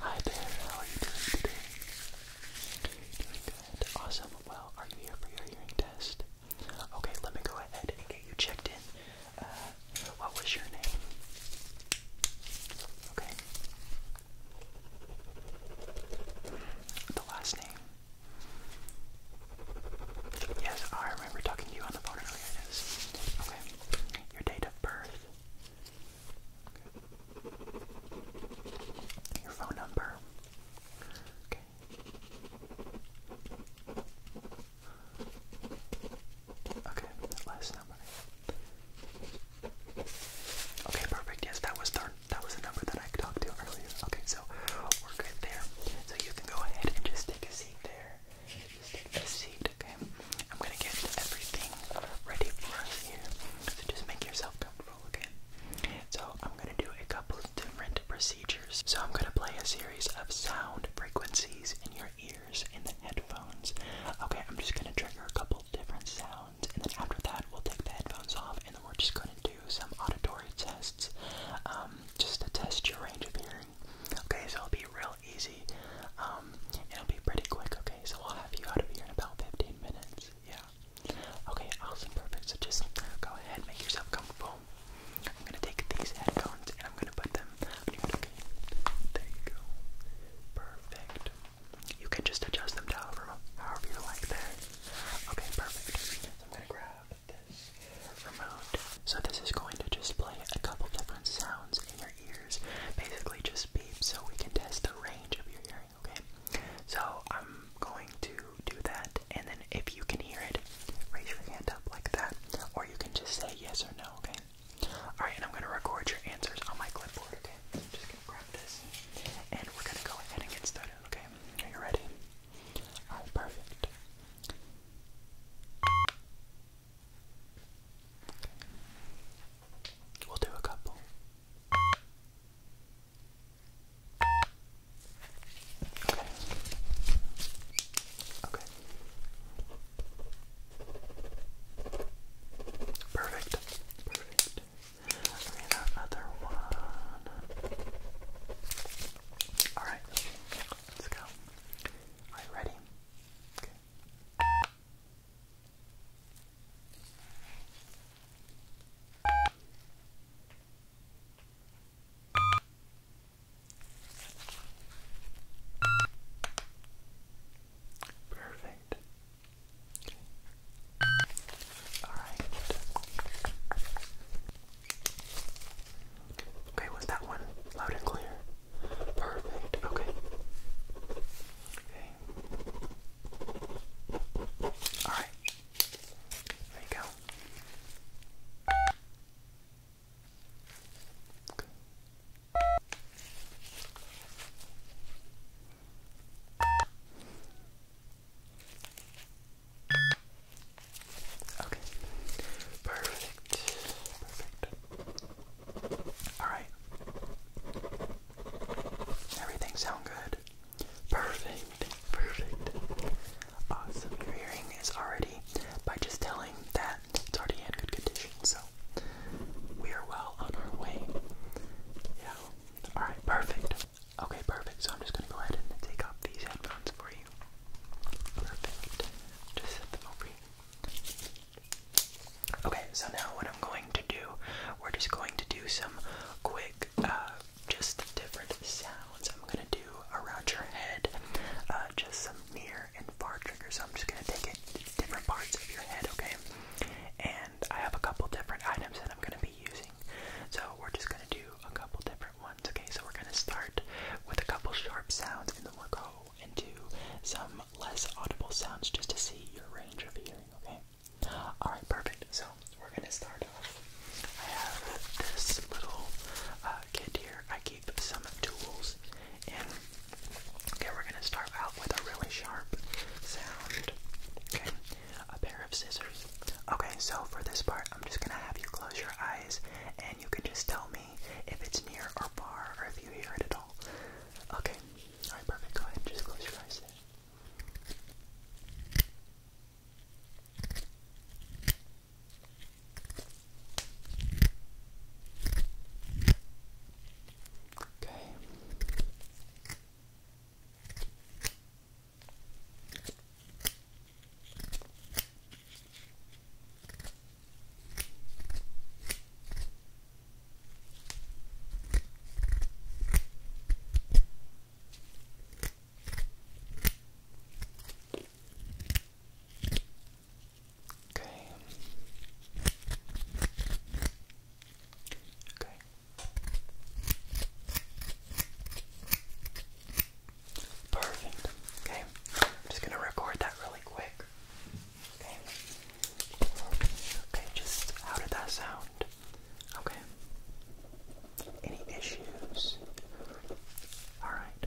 Hi there, how are you doing today? Doing good. Awesome. Well, are you here for your hearing test? Okay, let me go ahead and get you checked in. Uh, what was your name? Okay. The last name. Yes, I remember talking to you on the phone earlier. It is. Okay. Your date of birth. Your phone number. Okay. Okay, last number. Okay, perfect. Yes, that was the that was the number that I talked to earlier. Okay, so we're good there. So you can go ahead and just take a seat there. Just take a seat okay? I'm gonna get everything ready for us here. So just make yourself comfortable, okay? So I'm gonna do a couple of different procedures. So I'm gonna play a series of sound frequencies in your ears in the headphones. Okay, I'm just gonna trigger a couple different sounds, and then after that we'll take the headphones off and then we're just gonna do some auditory tests. Um, just to test your range of hearing. Okay, so i will be real easy. Um, it'll be pretty quick, okay? So I'll have you out of here in about 15 minutes. Yeah. Okay, awesome, perfect. So just go ahead, make yourself comfortable. I'm gonna take these headphones and I'm gonna put them okay. There you go. Perfect. You can just adjust them to however, however you like there. Okay, perfect. I'm gonna grab this remote. So this is going to just play a couple different sounds in your ears basically just beep so we can test the range of your hearing, okay? So I'm going to do that, and then if you can hear it, raise your hand up like that, or you can just say yes or no, okay? Alright, and I'm going to record your answers on my clipboard, okay? I'm just going to grab this, and we're going to go ahead and get started, okay? Are you ready? Alright, perfect. Okay. We'll do a couple. Okay. Okay. Perfect. Perfect. Give one. Alright. Let's go. Are you ready? Okay. Perfect. Okay. All right. Okay, was that one loud and clear? Perfect. Okay. Okay. All right. There you go. Okay. Perfect. Perfect. Alright. Everything sound good? Perfect. Perfect. Awesome. Your hearing is already by just telling that it's already in good condition, so we are well on our way. Yeah. Alright, perfect. Okay, perfect. So I'm just gonna go ahead and take off these headphones for you. Perfect. Just set them over here. Okay, so now what I'm going to do, we're just going to do some quick, uh, just different sounds. I'm gonna do around your head, uh, just some near and far triggers. So I'm just gonna take it different parts of your head, okay? And I have a couple different items that I'm gonna be using. So we're just gonna do a couple different ones, okay? So we're gonna start with a couple sharp sounds and then we'll go into some less audible sounds just to see your range of hearing okay? Alright, perfect. So, we're gonna start off. I have this little uh, kit here. I keep some tools Okay, we're gonna start out with a really sharp sound. Okay, a pair of scissors. Okay, so for this part, I'm just gonna have you close your eyes and you can just tell me if it's near or far or if you hear it at all. Okay, Alright, perfect. Go ahead just close your eyes Okay. Okay. Okay. Perfect. Okay. I'm just going to record that really quick. Okay. Okay, just how did that sound? Okay. Any issues? Alright.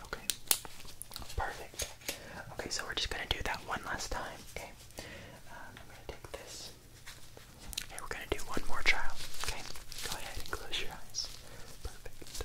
Okay. Perfect. Okay, so we're just gonna do that one last time. Okay. Uh, I'm gonna take this. Okay, we're gonna do one more trial. Okay. Go ahead and close your eyes. Perfect.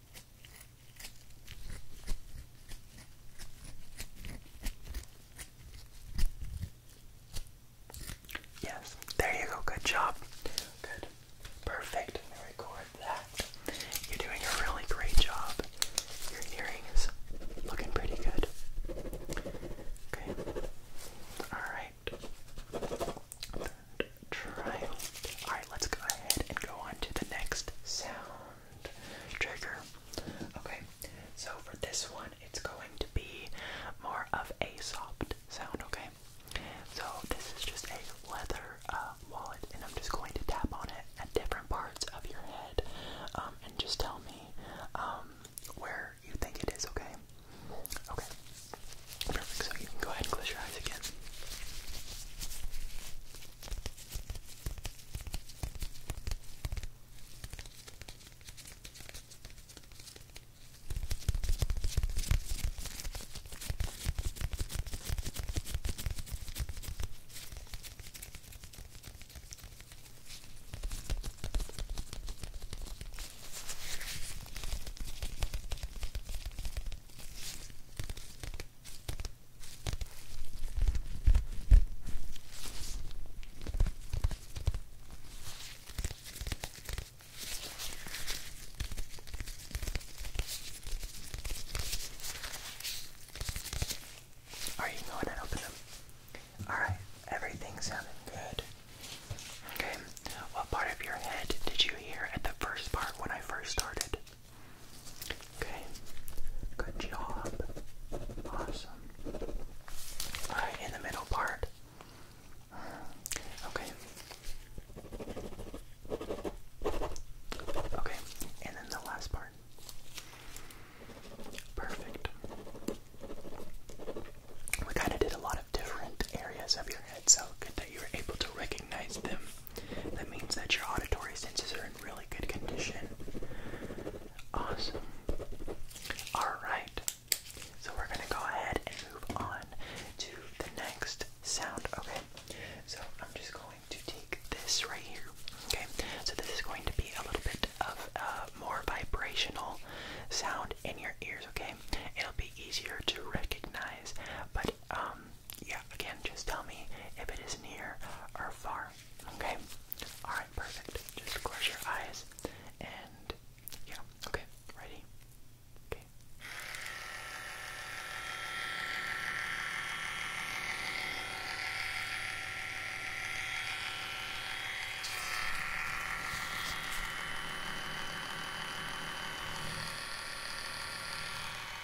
Yes, there you go. Good job. Good. Perfect. record that. You're doing a really great job. Your hearing looking pretty good. Okay. All right. Alright, let's go ahead and go on to the next sound trigger. Okay, so for this one, it's going to be more of a soft sound, okay? So this is just a leather uh, wallet, and I'm just going to tap on it at different parts of your head, um, and just tell me um, where you think it is, okay? Okay. Perfect, so you can go ahead and close your eyes again. Alright, you can go open them. Alright, everything sounded good. Okay, what part of your head did you hear at the first part when I first started? Okay. Good job. Awesome. Alright, in the middle part. Okay. Okay, and then the last part. Perfect. We kind of did a lot of different areas of your head, so good that you were able to recognize them. That means that your auditory senses are in really good condition. Awesome. Alright, so we're going to go ahead and move on to the next sound, okay? So I'm just going to take this right here, okay? So this is going to be a little bit of a more vibrational sound in your ears, okay? It'll be easier to recognize, but um, yeah, again, just tell me if it is near or far. Okay. All right, perfect. Just close your eyes and yeah. Okay, ready. Okay.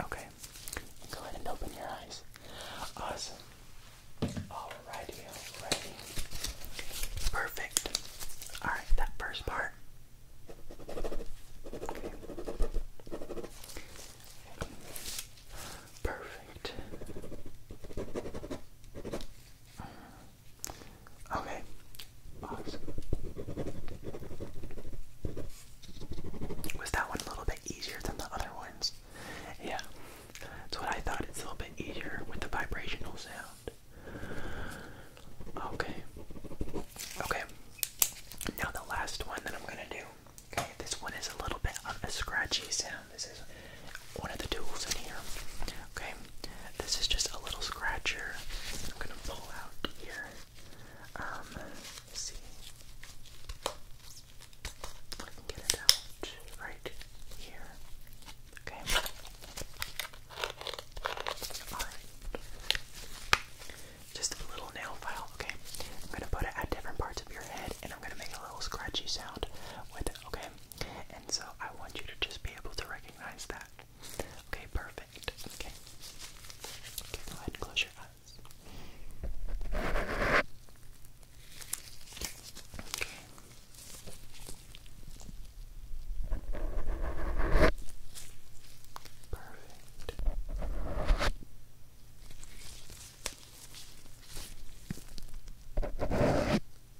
Okay, go ahead and open your eyes. Awesome. All righty, all Perfect. All right, that first part. Perfect. Okay. Was that one a little bit easier than the other ones? Yeah. That's what I thought. It's a little bit easier with the vibrational sound. Okay. Okay. Now the last one that I'm gonna do. Okay, this one is a little bit of a scratchy sound. This is one of the tools in here. Okay. This is just a little scratcher. I'm gonna pull out here. Um, see. I can get it out right here. Okay. Alright. Just a little nail file. Okay. I'm gonna put it at different parts of your head and I'm gonna make a little scratchy sound with it, okay? And so I want you to just be able to recognize that. Okay, perfect. Okay. Okay, go ahead close your eyes. Okay. Perfect.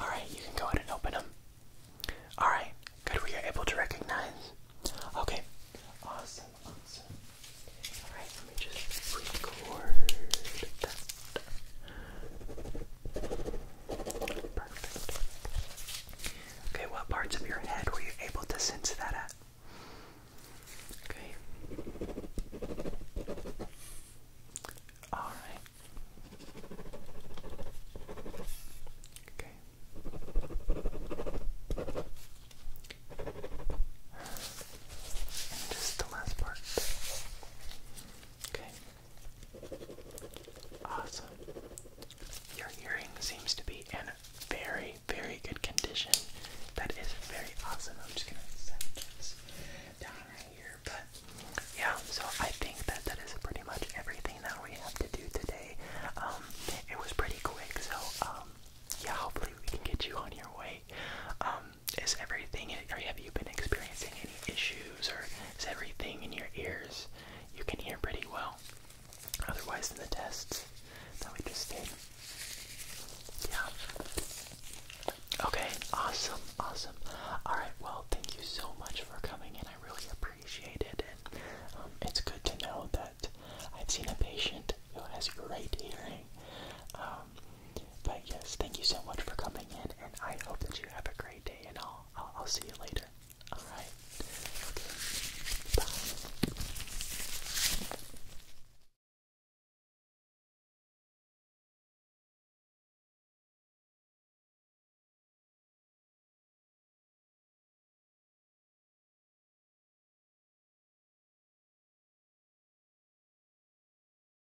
All right, you can go ahead and open them. All right, good. We are able to recognize. Okay, awesome, awesome. All right, let me just record Okay, what parts of your head were you able to sense that at? Okay. All right. Okay. just the last part. Okay. Awesome. Your hearing seems to be in very, very good condition. That is very awesome. I'm just gonna set this down right here. But yeah, so I think that that is pretty much everything that we have to do today. Um, it was pretty quick, so um, yeah, hopefully we can get you on your way. Um, is everything, or have you been experiencing any issues, or is everything in your ears? You can hear pretty well. Otherwise, in the tests that we just did. Yeah. Okay, awesome, awesome. Alright, well, thank you so much for coming in. I really appreciate it. And um, it's good to know that I've seen a patient who has great hearing. Um, but yes, thank you so much for coming in, and I hope that you have a great day, and I'll, I'll, see you later. Alright? Okay. Bye.